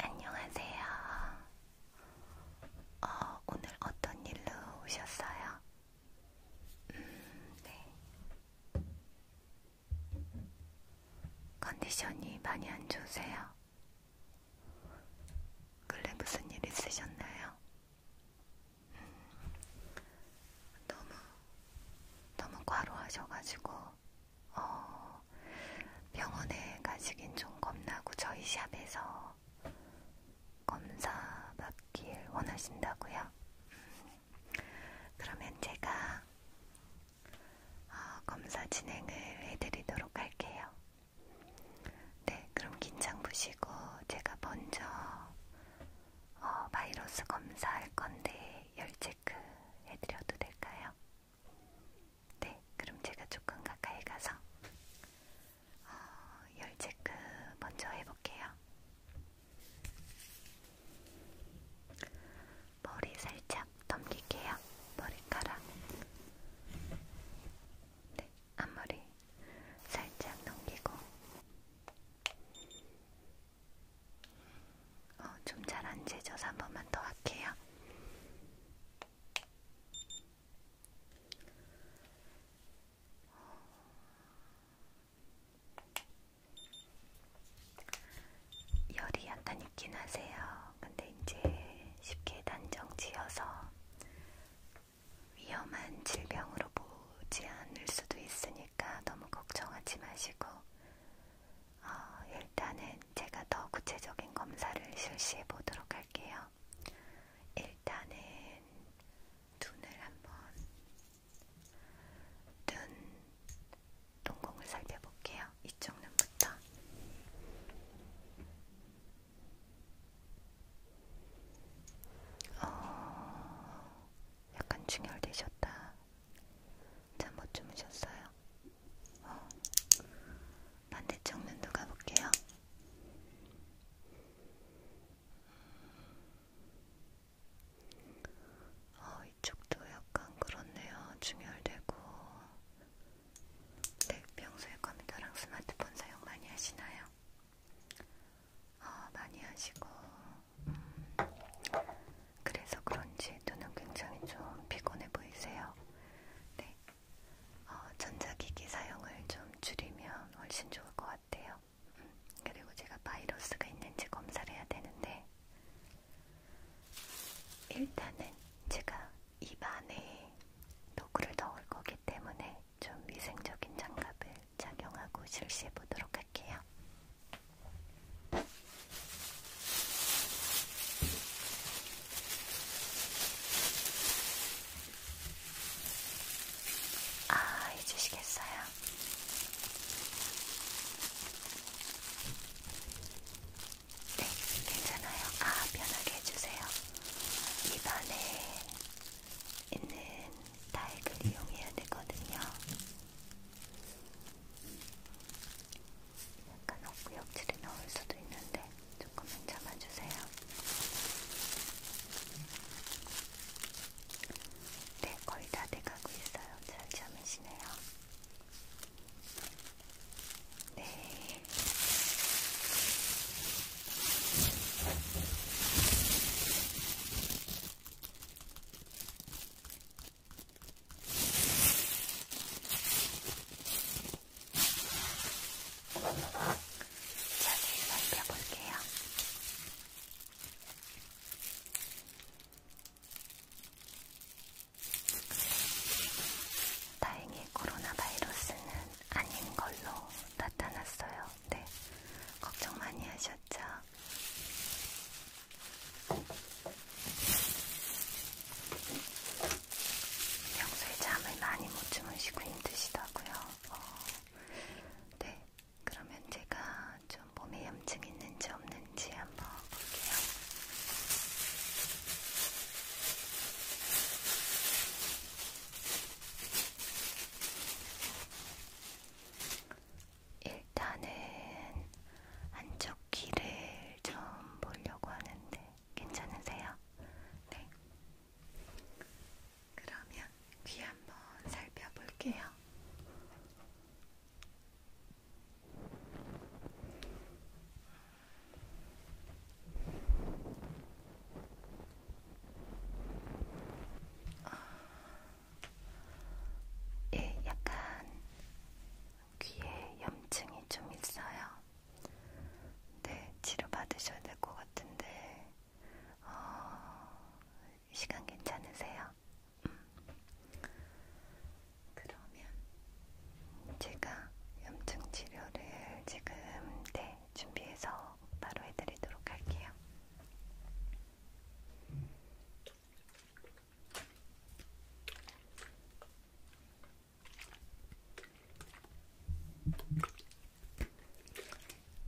안녕하세요. 어, 오늘 어떤 일로 오셨어요? 음, 네. 컨디션이 많이 안 좋으세요? 근래 무슨 일 있으셨나요? 너무 너무 과로하셔가지고 어, 병원에 가시긴 좀 겁나고 저희 샵에서 검사 받길 원하신다고요? 음, 그러면 제가 어, 검사 진행을 해드리도록 할게요. 네, 그럼 긴장 푸시고 제가 먼저 어, 바이러스 검사할 건데 열 체크 해드려도 될까요? 네, 그럼 제가 조금 가까이 가서 어, 열 체크 먼저 해볼게요. 머리 살짝 넘길게요. 머리카락. 네, 앞머리 살짝 넘기고 어, 좀 잘 안 재져서 한 번만 더 할게요. 열이 약간 있긴 하세요. 근데 이제 쉽게 단정 지어서 위험한 질병으로 보지 않을 수도 있으니까 너무 걱정하지 마시고, 어, 일단은 제가 더 구체적인 검사를 실시해 보도록 할게요. 일단은 눈을 한번, 눈 동공을 살펴볼게요. 이쪽 눈부터. 어, 약간 충혈되셨다. 잠 못 주무셨어요? 어. 반대쪽 눈도 가볼게요. 어, 이쪽도 약간 그렇네요. 충혈되고. 네, 평소에 컴퓨터랑 스마트폰 사용 많이 하시나요? 어, 많이 하시고 음, 그래서 그런지 눈은 굉장히 좀 피곤해 보이세요. 네, 어, 전자기기 사용을 좀 줄이면 훨씬 좋을 것 같아요. 음, 그리고 제가 바이러스가 있는지 검사를 해야 되는데 일단은 제가 입 안에 도구를 넣을 거기 때문에 좀 위생적인 장갑을 착용하고 실시해 보도록 할게요. 아, 해주시겠어요? 네, 괜찮아요. 아, 편하게 해주세요. 입안에 있는 타액을 이용해야 되거든요. 약간 엇구역질이 나올 수도 있는데 조금만 참아주세요. 네, 거의 다 돼가고 있어요. 잘 참으시네요. 네. 자세히 살펴볼게요. 다행히 코로나 바이러스는 아닌 걸로 나타났어요. 네, 걱정 많이 하셨죠? 평소에 잠을 많이 못 주무시고 힘드시다고요? 어, 네, 그러면 제가 좀 몸에 염증 있는지 없는지 한번 볼게요. 네, 일단은 안쪽 귀를 좀 보려고 하는데 괜찮으세요? 네. 그러면 귀 한번 살펴볼게요. 아. 예, 약간 귀에 염증이 좀 있어요. 네, 치료받으셔야 될 것 같은데, 어, 시간 괜찮으세요? 음. 그러면 제가 염증 치료를 지금 네, 준비해서 바로 해드리도록 할게요.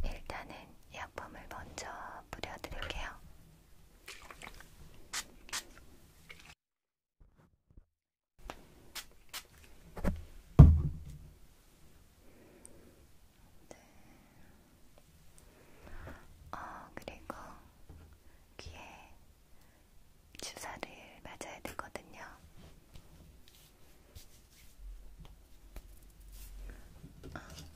일단은 약품을 먼저 뿌려드릴게요. 네. 어, 그리고 귀에 주사를 맞아야 되거든요. 어. 네.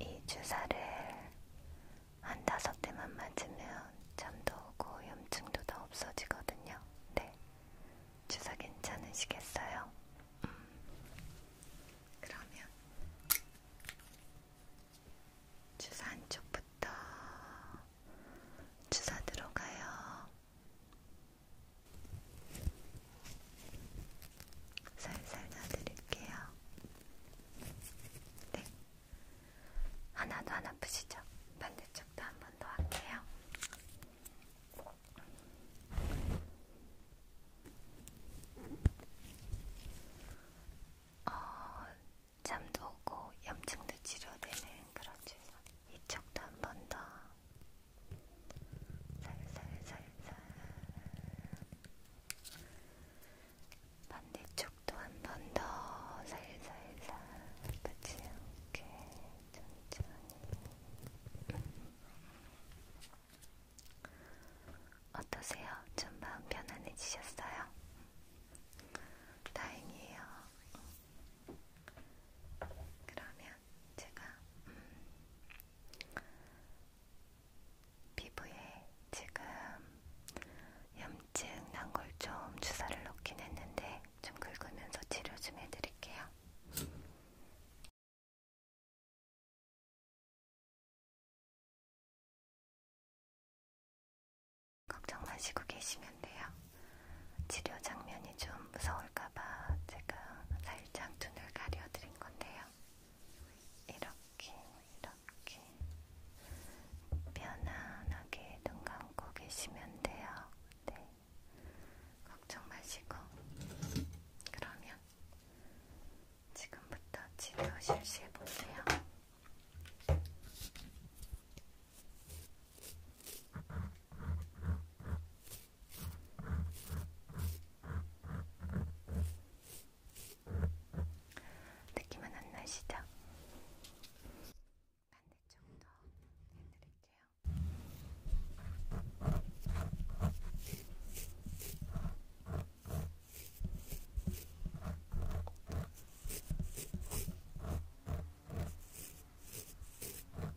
이 주사를 한 다섯 대만 맞으면 잠도 오고 염증도 다 없어지거든요. 네. 주사 괜찮으시겠어요? 음. 그러면 주사 한쪽부터 주사 들어가요. 살살 놔드릴게요. 네. 하나도 안 아프시죠? 반대쪽도 한 번 더 할게요. 어, 잠도 오고 염증도 치료되는 그런 주사 이쪽도 한번더 살살살살 반대쪽도 한 번 더 살살살 붙지 않게 천천히 어떠세요? 좀 마음 편안해지셨어요? 다행이에요. 그러면 제가 음, 피부에 지금 염증 난 걸 좀 주사를 넣긴 했는데 좀 긁으면서 치료 좀 해드릴게요. 걱정 마시고 계시면 돼요. 치료 장면이 좀 무서울까봐 제가 살짝 눈을 가려드린 건데요. 이렇게, 이렇게 편안하게 눈 감고 계시면 돼요. 네. 걱정 마시고. 그러면 지금부터 치료 실시해볼게요. 네. 느낌은 안 나시죠? 반대쪽도 해드릴게요. 자,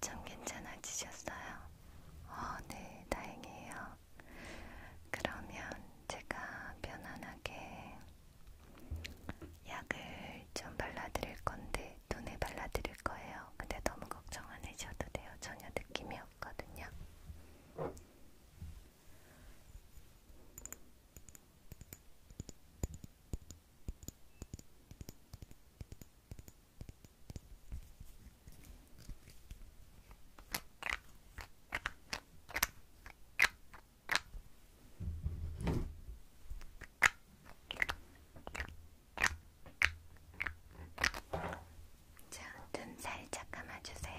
좀 괜찮아지셨어요? 어, 네, 다행이에요. 그러면 제가 편안하게 약을 좀 발라드릴 건데, 눈에 발라드릴 거예요. 근데 너무 걱정 안 해셔도 돼요. 전혀 느낌이 없거든요. 자, 눈 살짝 감아주세요.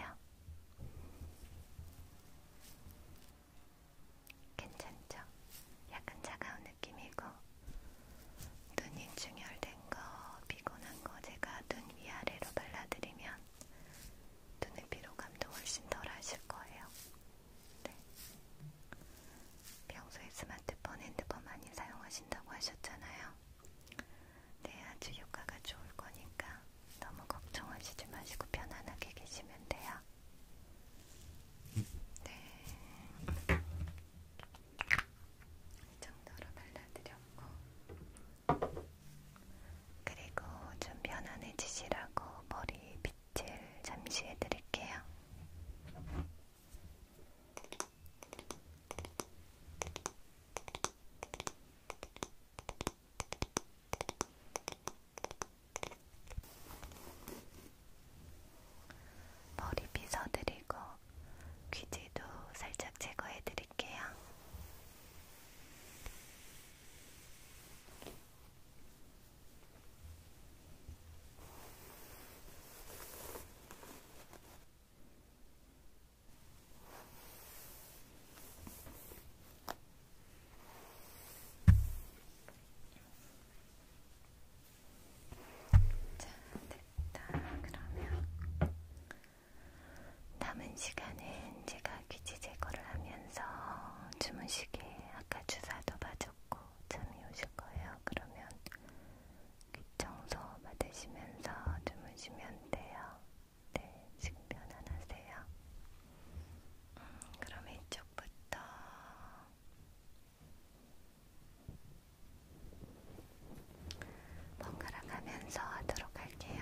괜찮죠? 약간 차가운 느낌이고 눈이 충혈된 거, 피곤한 거 제가 눈 위아래로 발라드리면 눈의 피로감도 훨씬 덜하실 거예요. 네. 평소에 스마트폰, 핸드폰 많이 사용하신다고 하셨잖아요. 네, 아주 효과가 좋을 거니까 너무 걱정하시지 마시고 편안하게 계시면 돼요. 네. 이 정도로 발라드렸고, 그리고 좀 편안해지시라고 머리 빗질 잠시 해드릴게요. 네. 머리 빗어드리고 귀지도 살짝 제거해드릴게요. 자, 됐다. 그러면 남은 시간은 제가 귀지 제거를 하면서 주무시게 아까 주사도 맞았고 잠이 오실 거예요. 그러면 귀 청소 받으시면서 주무시면 돼요. 네, 지금 편안하세요. 음, 그럼 이쪽부터 번갈아 가면서 하도록 할게요.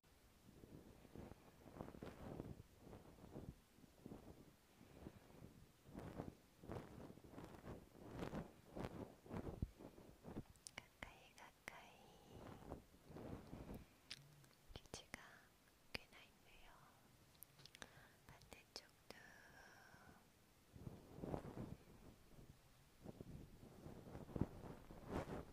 가까이 가까이 기지가 꽤나 있네요. 반대쪽도